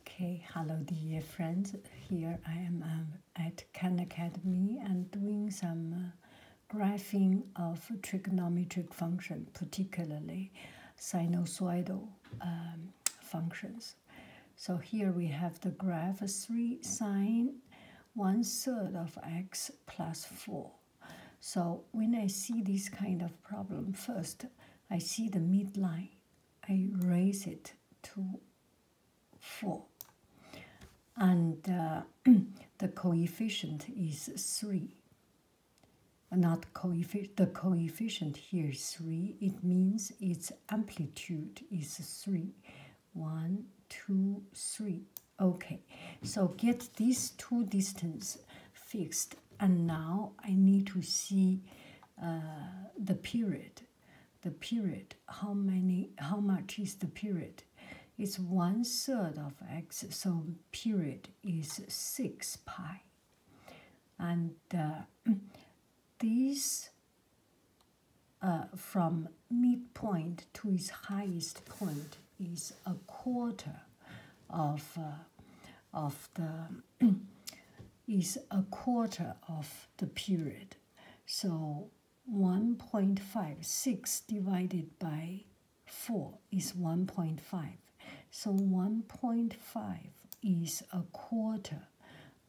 Okay, hello dear friends. Here I am um, at Khan Academy and doing some uh, graphing of trigonometric function, particularly sinusoidal um, functions. So here we have the graph 3 sine 1 third of x plus 4. So when I see this kind of problem, first I see the midline I raise it to 4 and uh, the coefficient is 3 not coefficient the coefficient here 3 it means its amplitude is 3 1 2 3 okay so get these two distance fixed and now i need to see uh, the period. The period, how many, how much is the period? It's one third of x, so period is six pi. And uh, these uh, from midpoint to its highest point is a quarter of uh, of the is a quarter of the period. So 1.56 divided by 4 is 1.5. So 1.5 is a quarter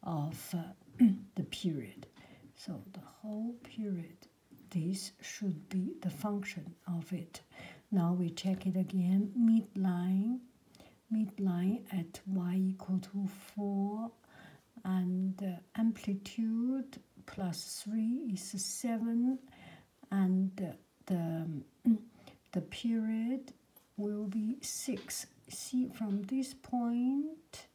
of uh, the period. So the whole period, this should be the function of it. Now we check it again, midline midline at y equal to 4 and uh, amplitude plus 3 is 7 and uh, the, the period will be 6 see from this point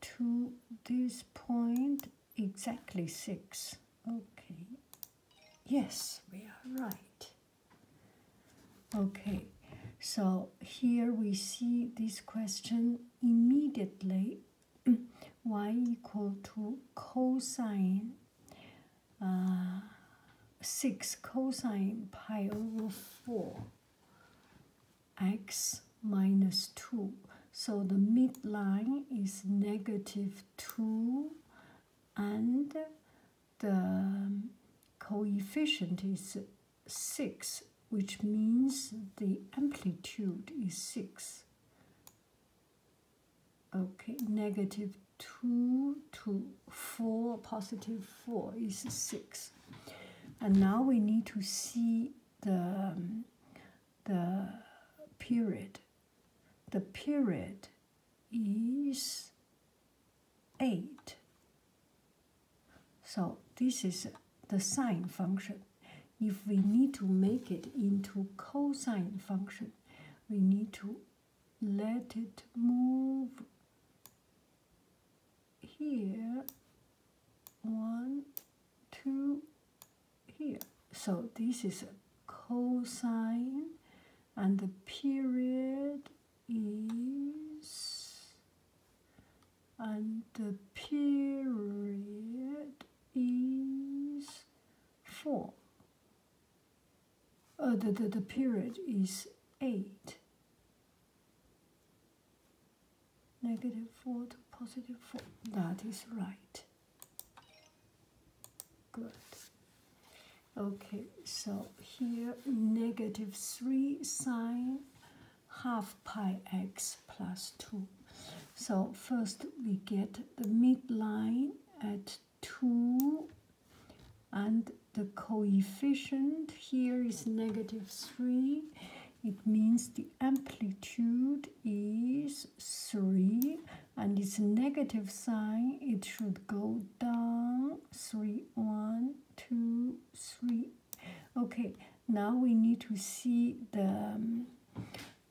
to this point exactly 6 okay Yes, we are right. Okay, so here we see this question immediately y equal to cosine uh, 6 cosine pi over 4 x minus 2. So the midline is negative 2 and the coefficient is 6, which means the amplitude is 6. Okay, negative 2 to 4, positive 4 is 6. And now we need to see the, um, the period. The period is 8. So this is the sine function. If we need to make it into cosine function, we need to let it move here. One, two, here. So this is cosine and the period is and the period is 4. Uh, the, the, the period is 8. Negative 4 to positive 4. That is right. Good. Okay, so here negative 3 sine half pi x plus 2. So first we get the midline at 2 and the coefficient here is negative 3. It means the amplitude is 3 and it's negative sign, it should go down, three, one, two, three. Okay, now we need to see the, um,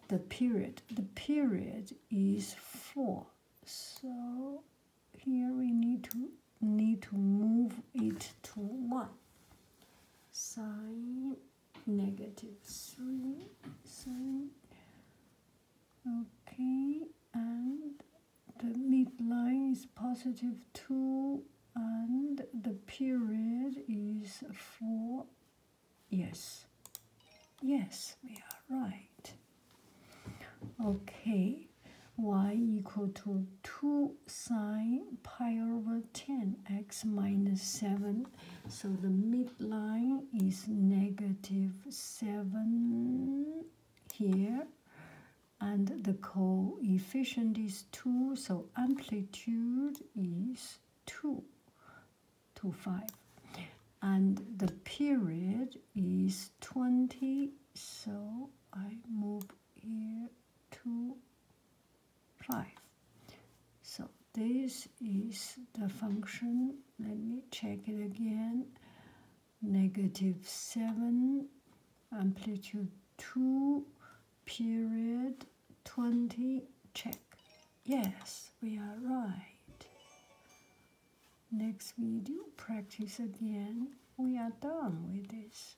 the period. The period is four, so here we need to need to move it to one. Sign negative three sine. Okay, and the midline is positive two, and the period is four. Yes, yes, we are right. Okay, y equal to two sine pi over ten x minus seven so the midline is negative 7 here, and the coefficient is 2, so amplitude is 2, to 5. And the period is 20, so I move here to 5. So this is the function. Let me check it again. Negative 7, amplitude 2, period 20, check. Yes, we are right. Next we do practice again. We are done with this.